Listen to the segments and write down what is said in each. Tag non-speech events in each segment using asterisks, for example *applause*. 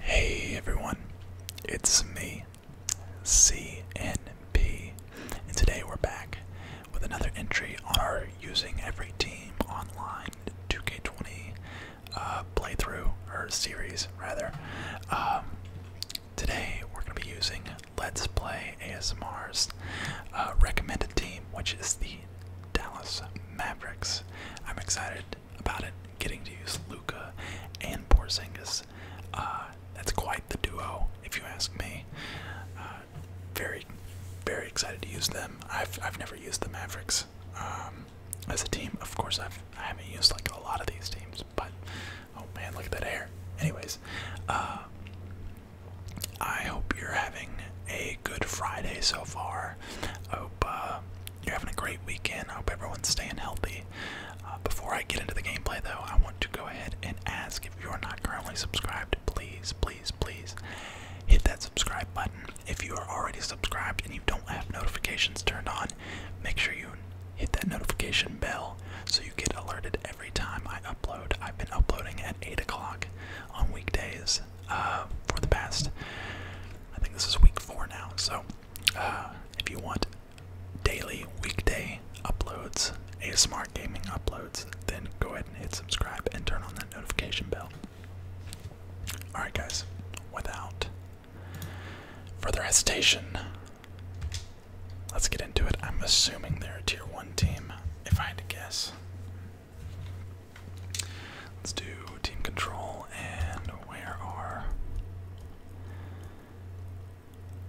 Hey everyone, it's me, CNP, and today we're back with another entry on our Using Every Team Online 2K20 uh, playthrough, or series rather. Um, today we're going to be using Let's Play ASMR's uh, recommended team, which is the Dallas Mavericks. I'm excited about it. Getting to use Luca and Porzingis. Uh, that's quite the duo, if you ask me. Uh, very, very excited to use them. I've I've never used the Mavericks um, as a team. Of course, I've I haven't used like a lot of these teams, but oh man, look at that hair. Anyways, uh, I hope you're having a good Friday so far. hope you're having a great weekend. I hope everyone's staying healthy. Uh, before I get into the gameplay, though, I want to go ahead and ask if you're not currently subscribed, please, please, please hit that subscribe button. If you are already subscribed and you don't have notifications turned on, make sure you hit that notification bell so you get alerted every time I upload. I've been uploading at 8 o'clock on weekdays uh, for the past. I think this is week four now. So uh, if you want daily weekday uploads, ASMR gaming uploads, then go ahead and hit subscribe and turn on that notification bell. Alright, guys, without further hesitation, let's get into it. I'm assuming they're a tier 1 team, if I had to guess. Let's do team control and where are.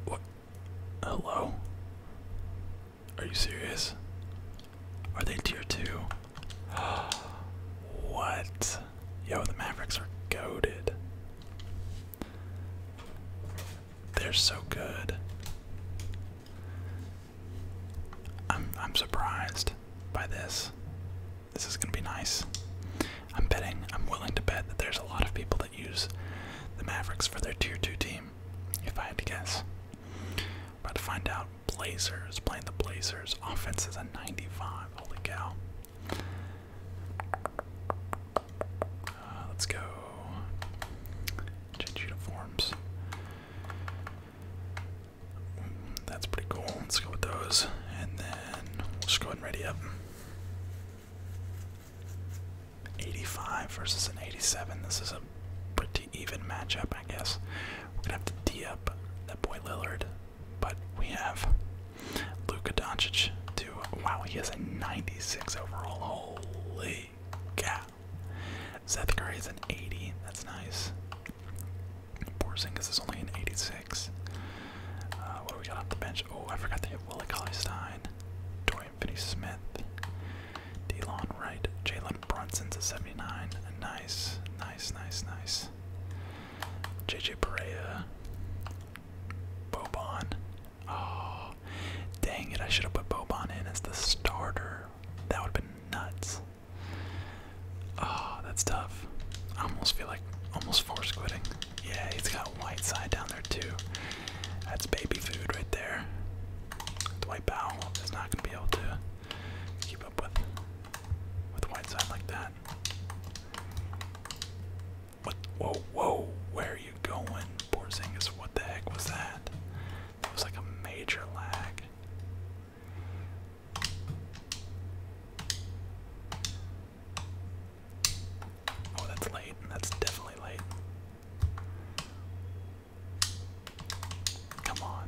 What? Hello? Are you serious? Are they tier 2? *gasps* what? Yo, the Mavericks are goaded. They're so good. I'm I'm surprised by this. This is gonna be nice. I'm betting, I'm willing to bet that there's a lot of people that use the Mavericks for their tier two team, if I had to guess. About to find out. Blazers playing the Blazers. Offense is a 95. Holy cow. Uh, let's go. Change uniforms. That's pretty cool. Let's go with those. And then we'll just go ahead and ready up. 85 versus an 87. This is a pretty even matchup, I guess. We're gonna have to D up that boy Lillard, but we have Luka Doncic to wow, he has a 96 overall. Holy cow. Seth is an 80. That's nice. Porzingis is only an 86. Uh, what do we got off the bench? Oh, I forgot they have Willie Colley-Stein, Dorian Finney-Smith, DeLon Wright, Jalen Brunson's a 79. Nice, nice, nice, nice. JJ Perea, Boban. Oh, dang it! I should have put Boban in as the starter. That would have been nuts. Oh, that's tough. I almost feel like almost force quitting. Yeah, he's got white side down there too. That's baby food right there. white Powell is not gonna be able to keep up with with white side like that. What whoa whoa, where are you going? Porzingis, what the heck was that? It was like a major lag. Oh, that's late. That's definitely late. Come on.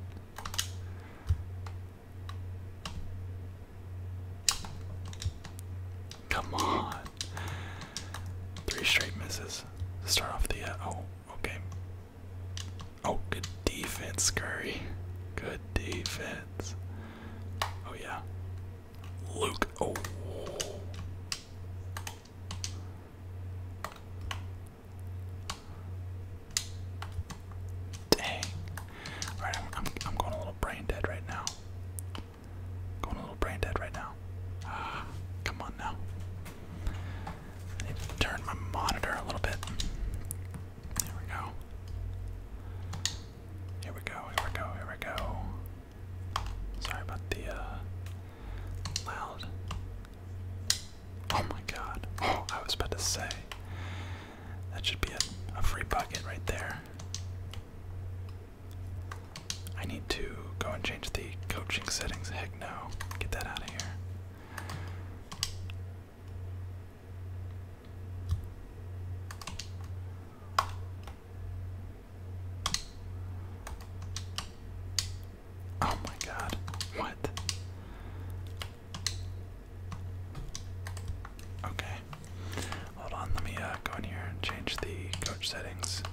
Come on. Three straight misses. Start off the uh, oh Okay. Oh, good defense, Curry. Good defense. Oh, yeah. Luke. Oh. Dang. Alright, I'm, I'm, going a little brain dead right now. Going a little brain dead right now. Ah, come on now. I need to turn my monitor a little bit. There we go. Here we go, here we go, here we go. Sorry about the uh, loud. Oh my god. Oh, I was about to say. That should be a, a free bucket right there. I need to go and change the coaching settings. Heck no. Get that out of here. Oh my god, what? Okay. Hold on, let me uh, go in here and change the coach settings.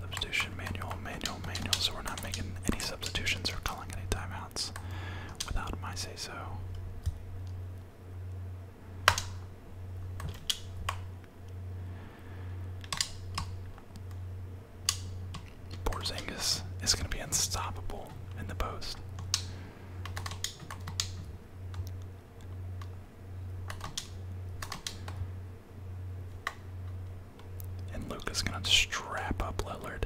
Substitution manual, manual, manual, so we're not making any sense substitutions or calling any timeouts without my say so. Porzingis is going to be unstoppable in the post. And Luke is gonna strap up Lillard.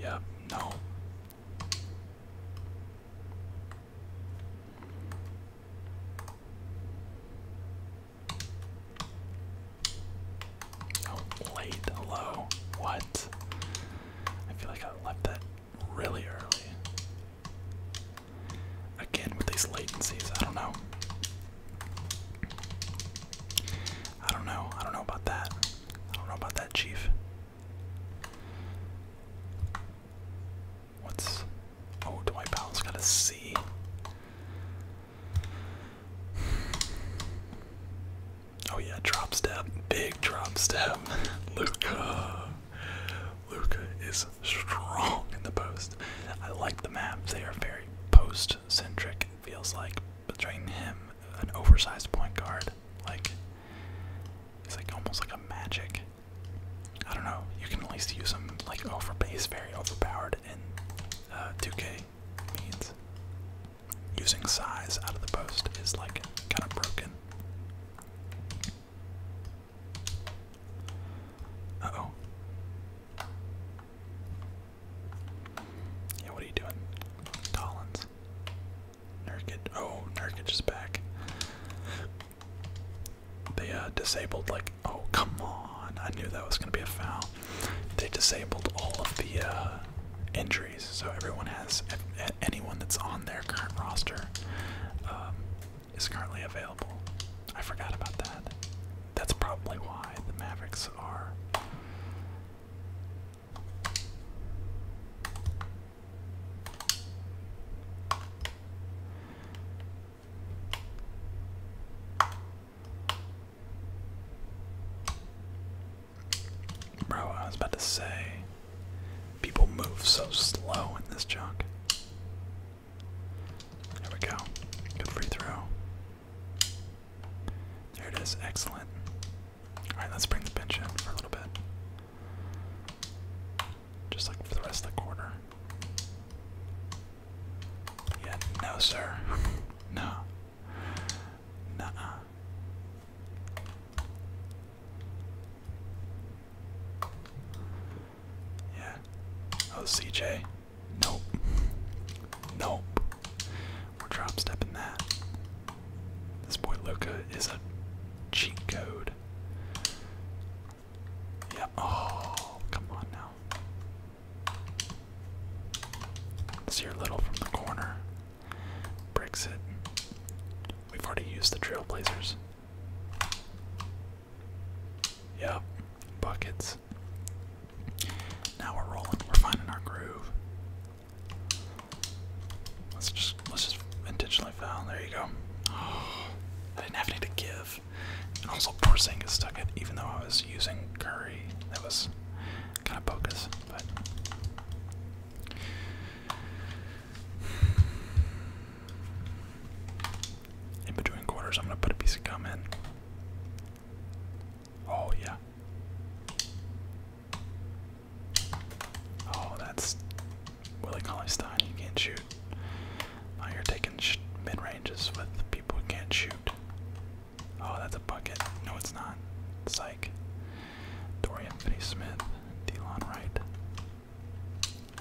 Yep, no. Oh, late, hello. What? I feel like I left that really early. Again, with these latencies, I don't know. I don't know. I don't know about that. I don't know about that, Chief. What's. Oh, Dwight Powell's got a C. Oh, yeah, drop step. Big drop step. *laughs* Luca. Luca is strong in the post. I like the map. They are very post Centric feels like between him, an oversized point guard, like it's like almost like a magic. I don't know. You can at least use him like over base, very overpowered in 2K uh, means. Using size out of the post is like kind of broken. oh. Yeah, what are you doing? Collins. Nurkic. Oh, Nurkic is back. They uh, disabled, like, oh, come on. I knew that was going to be a foul. They disabled all of the uh, injuries, so everyone has, anyone that's on their current roster um, is currently available. I forgot about that. That's probably why the Mavericks are Bro, I was about to say people move so slow in this junk. There we go. Good free throw. There it is. Excellent. Alright, let's bring the bench in for a little bit. Just like for the rest of the quarter. Yeah, no, sir. *laughs* no. Nuh Yeah. Oh, CJ. Nope. Nope. We're drop stepping that. This boy Luca is a cheat code. Yeah. Oh, come on now. Let's little from the corner. Bricks it. We've already used the trailblazers. Yep, buckets. Now we're rolling. We're finding our groove. Let's just let's just intentionally foul. There you go. Oh, *gasps* I didn't have any to give. And also Porzingis stuck it, even though I was using Curry. That was kind of bogus, but in between quarters, I'm gonna put a piece of gum in. Oh, yeah. Oh, that's Willie Colley Stein. You can't shoot. Now you're taking mid ranges with people who can't shoot. Oh, that's a bucket. No, it's not. Psych. Dorian Finney Smith, Delon Wright.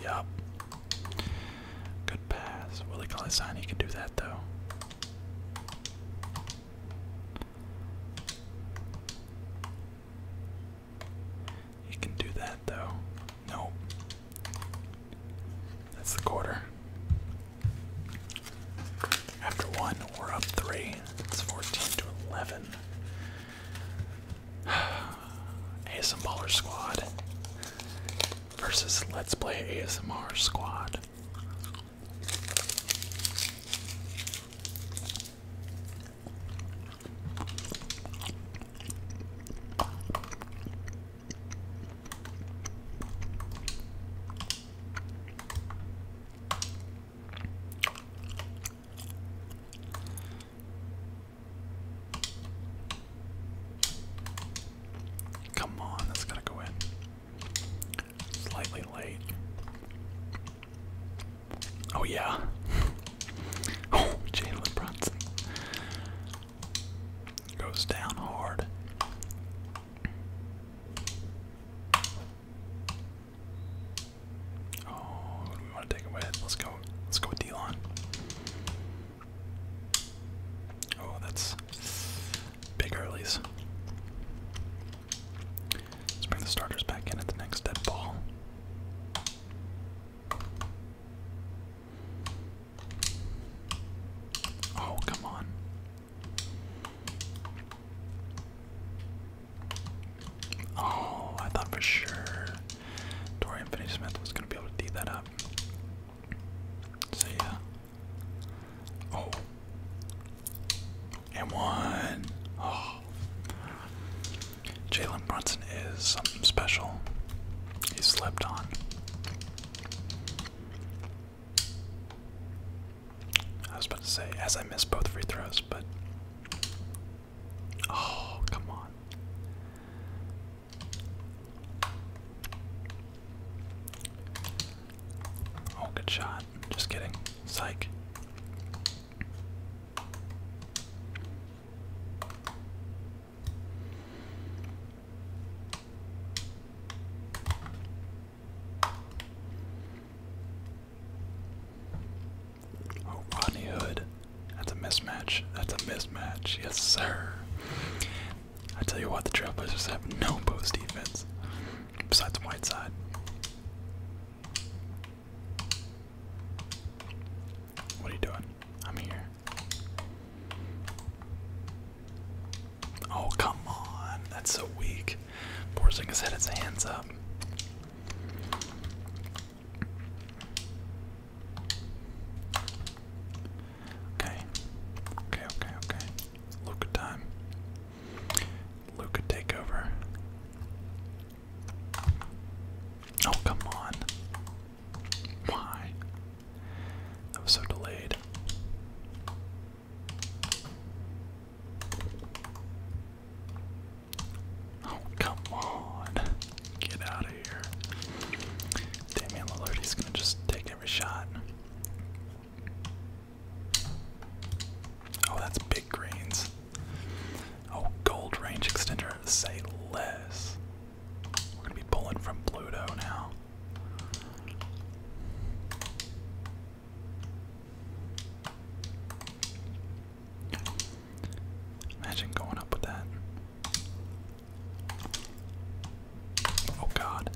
Yup. Good pass. Willie Colley He can do that though. He can do that though. Nope. That's the quarter. After one, we're up three. It's 14 to 11. *sighs* ASM Baller Squad versus Let's Play ASMR Squad. Come on, that's gotta go in. Slightly late. Oh yeah. *laughs* oh, Jalen Brunson goes down hard. Oh, do we want to take away? Let's go. Let's go with Oh, that's big earlies. Let's bring the starters back in the next dead ball. Oh, come on. Oh, I thought for sure Dorian Finney Smith was going to be able to D that up. See ya. Oh. And one. Oh. Jalen Brunson is something special. He slept on. I was about to say, as I missed both free throws, but. Oh, come on. Oh, good shot. Just kidding. Psych. Oh, Rodney Hood. That's a mismatch. That's a mismatch. Yes, sir. I tell you what, the Trailblazers have no post defense besides Whiteside. What are you doing? I'm here. Oh, come on. That's so weak. Porzingis had his hands up. Okay. Okay, okay, okay. Luca time. Luca takeover. Oh, come on. Why? That was so delayed. Oh, come on. Get out of here. Damian Lillard, he's gonna just take every shot. Oh, that's big greens. Oh, gold range extender, say less. We're gonna be pulling from Pluto now. Imagine going up with that. Oh god.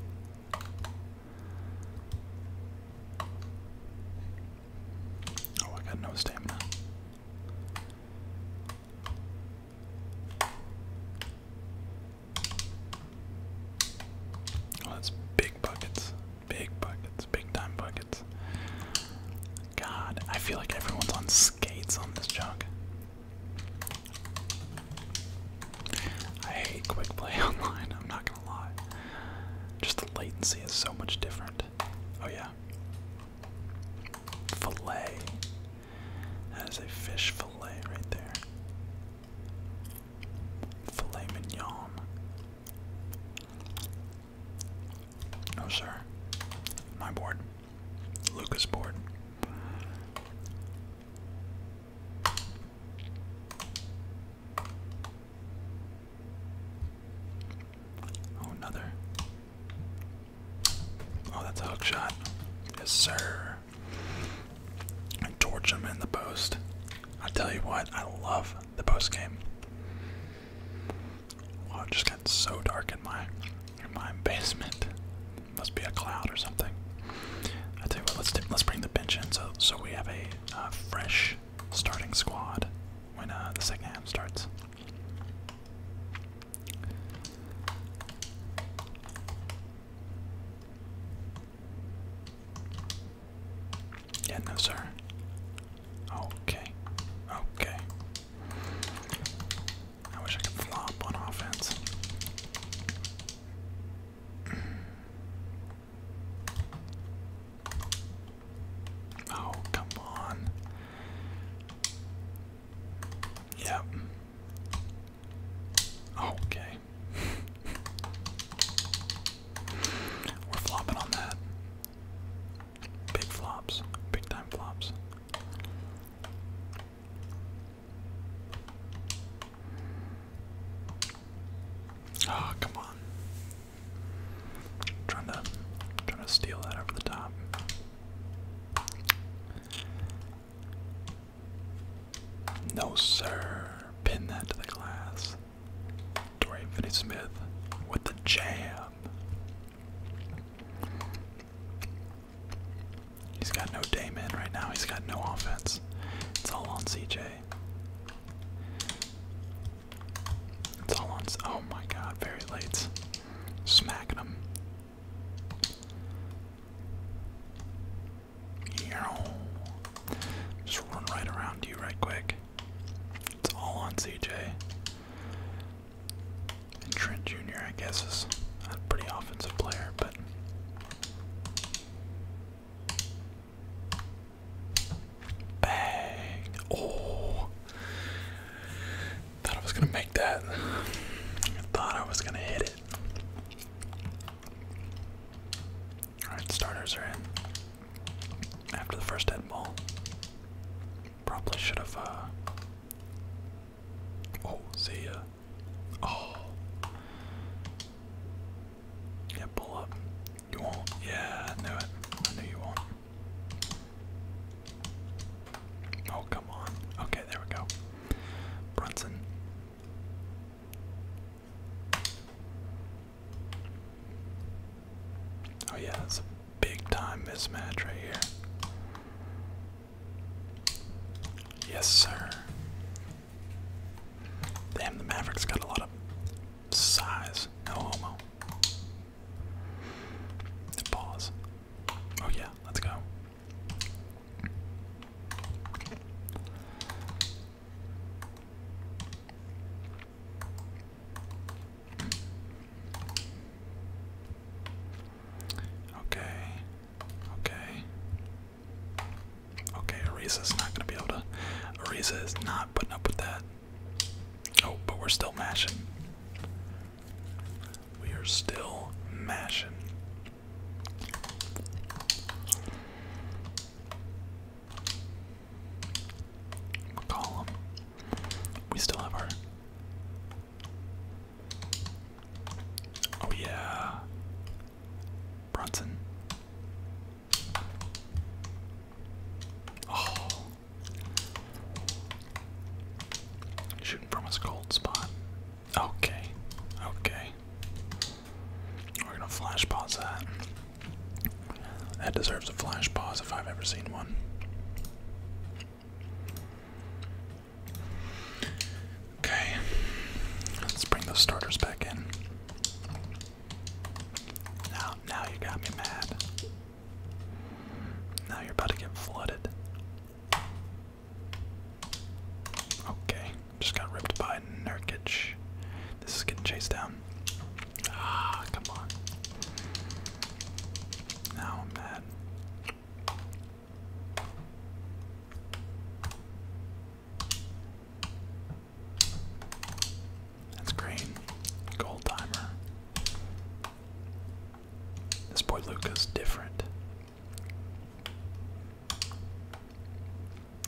Oh, I got no stamina. Oh, that's big buckets. Big buckets. Big time buckets. God, I feel like everyone's on skates on this junk. I hate quick play *laughs* online, I'm not gonna lie. Just the latency is so much different. Oh, yeah. Filet. That is a fish filet right there. Filet mignon. No, sir. My board. Lucas board. Oh, another. Oh, that's a hook shot. Yes, sir. And torch him in the post. I tell you what, I love the post game. Wow, it just got so dark in my in my basement. Must be a cloud or something. I tell you what, let's let's bring the bench in so so we have a fresh starting squad when uh, the second half starts. Yeah, sir. Okay, okay. I wish I could flop on offense. Oh, come on. Yep. Okay. *laughs* We're flopping on that. Big flops, big time flops. Oh, come on. trying to trying to steal that over the top. No sir. Pin that to the glass. Dorian Finney Smith with the jam. He's got no Dame right now. He's got no offense. It's all on CJ. It's all on. Oh my God! Very late. Smacking him. Just run right around you, right quick. It's all on CJ. And Trent Jr., I guess, is a pretty offensive player, but. Bang! Oh! Thought I was gonna make that. thought I was gonna hit it. Alright, starters are in after the first dead ball. Probably should have, uh. Oh, see ya. Oh. Yeah, pull up. You won't. Yeah, I knew it. I knew you won't. Oh, come on. Okay, there we go. Brunson. Oh, yeah, big time mismatch right here. Yes, sir. Damn, the Mavericks got a lot of size. No homo. Pause. Oh, yeah, let's go. Okay. Okay. Okay, Ariza's not gonna be able to Ariza is not putting up with that. Oh, but we're still mashing. We are still mashing. McCollum. We still have our. Oh, yeah. Bronson. Oh. Shooting from his cold spot. Okay. Okay. We're gonna flash pause that. That deserves a flash pause if I've ever seen one. Okay, let's bring those starters back in. Now, now you got me mad. Now you're about to get flooded. Okay, just got ripped by Nurkic. This is getting chased down. Ah, come on. Now I'm mad. That's green. Gold timer. This boy Luca's different.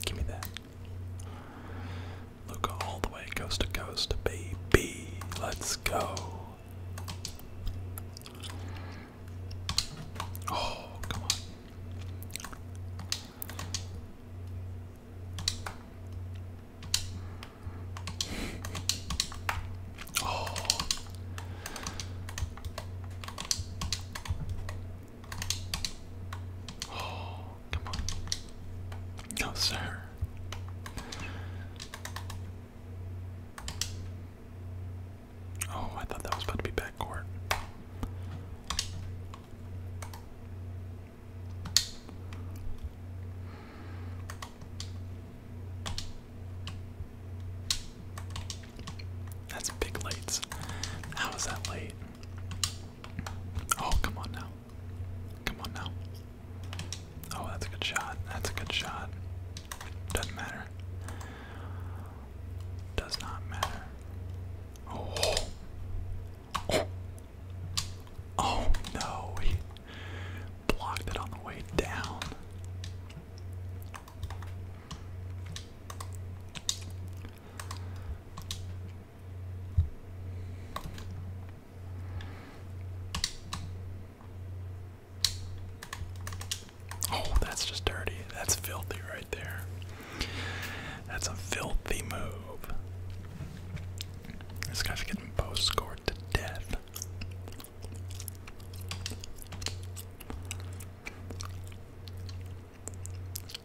Give me that. Luca all the way coast to coast, baby. Let's go. Oh, come on. Oh. Oh. Come on. No, sir. Oh, I thought that was about to be backcourt. That's big lights. How is that late? Oh, come on now. Come on now. Oh, that's a good shot. That's a good shot. Doesn't matter. Does not matter. Oh. Oh, oh no. He blocked it on the way down. Oh, that's just dirty. That's filthy right there. That's a filthy move. This guy's getting post scored to death.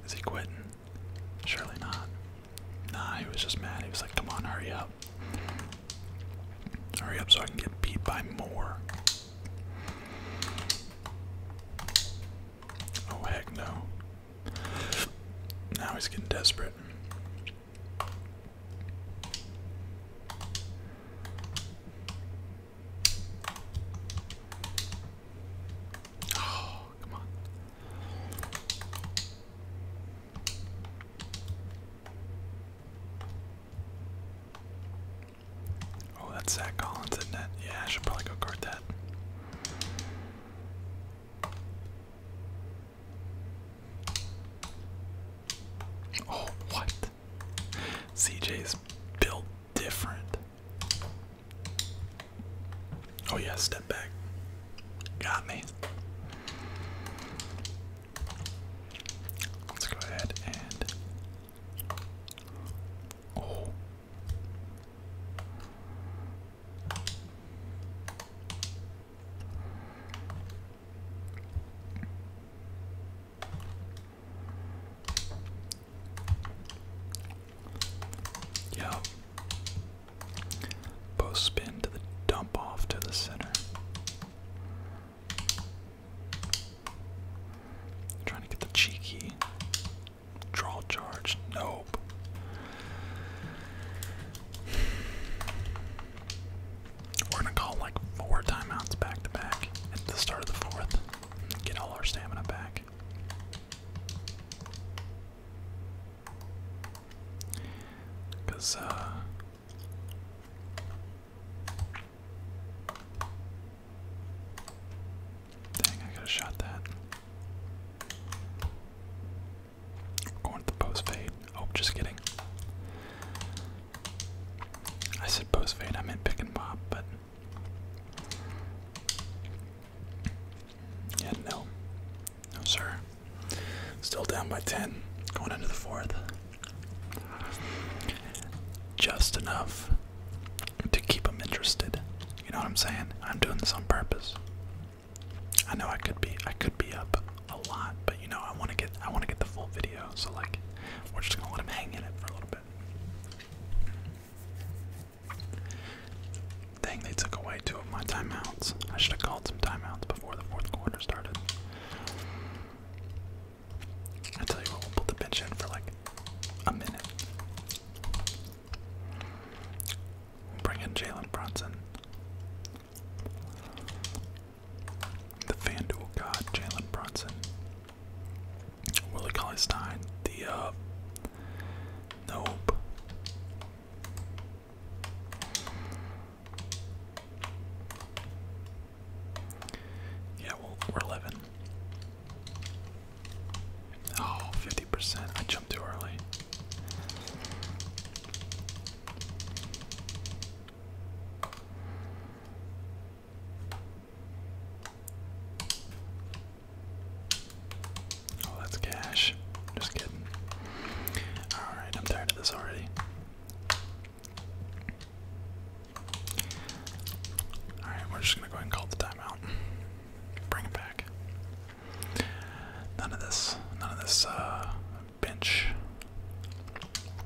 Is he quitting? Surely not. Nah, he was just mad. He was like, come on, hurry up. Hurry up so I can get beat by more. Oh, heck no. Now he's getting desperate. Oh, come on. Oh, that's Zach Collins, isn't it? Yeah, I should probably go guard that. Oh, what? CJ's built different. Oh yeah, step back. Got me. Let's go ahead and oh. Yep. Post spin to the dump off to the center. Trying to get the cheeky draw charge. Nope. We're gonna call like four timeouts back to back at the start of the fourth. Get all our stamina back. Because, uh. Dang, I could have shot that. going to the post fade. Oh, just kidding. I said post fade, I meant pick and pop, but. Yeah, no. No, sir. Still down by 10, going into the fourth. Just enough to keep them interested. You know what I'm saying? I'm doing this on purpose. I know I could be I could be up a lot, but you know I want to get I want to get the full video. So like, we're just gonna let him hang in it for a little bit. Dang, they took away two of my timeouts. I should have called some timeouts before the fourth quarter started. I tell you what, we'll put the bench in for like a minute. bring in Jalen Brunson. The FanDuel God, Jalen Brunson. Willie Colley Stein, the uh, nope. Yeah, well, we're living. Oh, percent I jumped too early. Oh, that's cash. Just kidding. Alright, I'm tired of this already. Alright, we're just gonna go and call the timeout. Bring it back. None of this, none of this, uh, bench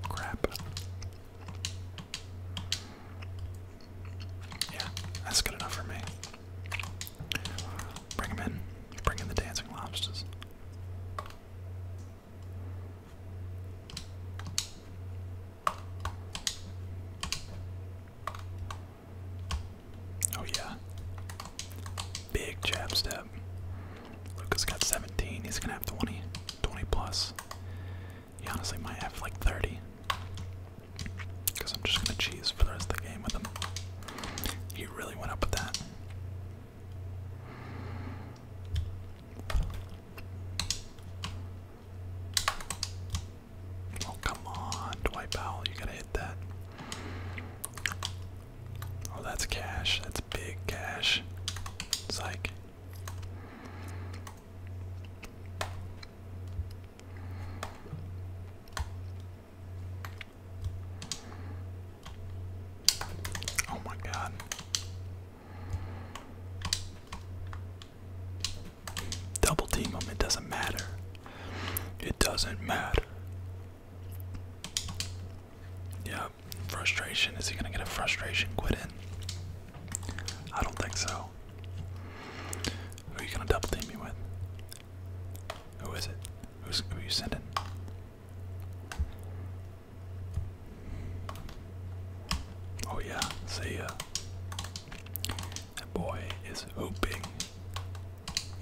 crap. Yeah, that's good enough for me. Bring him in. Bring in the dancing lobsters. Oh yeah. Big jab step. Lucas got 17. He's gonna have 20. 20 plus. He honestly might have like 30. Because I'm just going to cheese for the rest of the game with him. He really went up with that. Oh, come on, Dwight Powell. You got to hit that. Oh, that's cash. That's big cash. Psych. Oh my god. Double team them, it doesn't matter. It doesn't matter. Yeah, frustration. Is he gonna get a frustration quit in? I don't think so go. Who are you gonna double team me with? Who is it? Who's who are you sending? Oh yeah, see ya. That boy is hooping.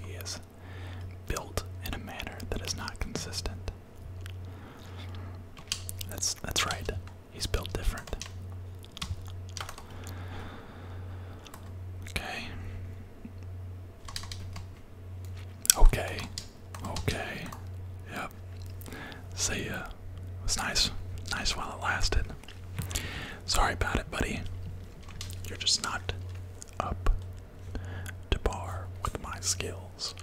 He is built in a manner that is not consistent. That's that's right. He's built different. Okay. Okay. Okay. Yep. See ya. It was nice. Nice while it lasted. Sorry about it, buddy. You're just not up to par with my skills.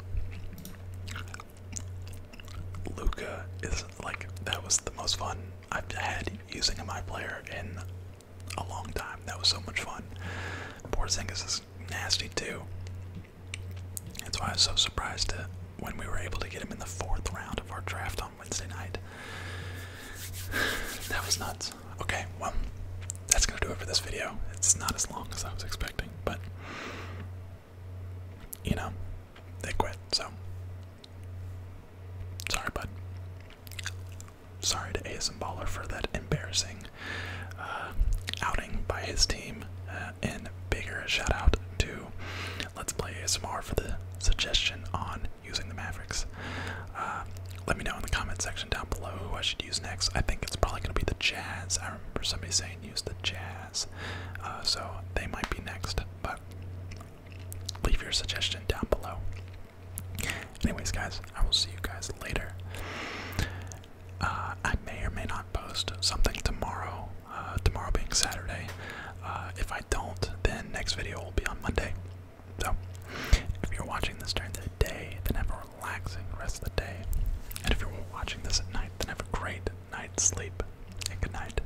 Luca is like that was the most fun I've had using a my player in a long time. That was so much fun. Poor Porzingis is nasty too. That's why I was so surprised to, when we were able to get him in the fourth round of our draft on Wednesday night. *sighs* that was nuts. Okay, well, that's gonna do it for this video. It's not as long as I was expecting, but you know, they quit. So sorry, bud. Sorry to ASM Baller for that embarrassing uh, outing by his team. Uh, and bigger shout out to Let's Play ASMR for the suggestion on using the Mavericks. Uh, let me know in the comment section down below who I should use next. I think it's probably going to be the Jazz. I remember somebody saying use the Jazz. Uh, so they might be next, but leave your suggestion down below. Anyways, guys, I will see you guys later. Uh, I may or may not post something tomorrow, uh, tomorrow being Saturday. Uh, if I don't, then next video will be on Monday. So, if you're watching this during the day, then have a relaxing rest of the day. And if you're watching this at night, then have a great night's sleep. And good night.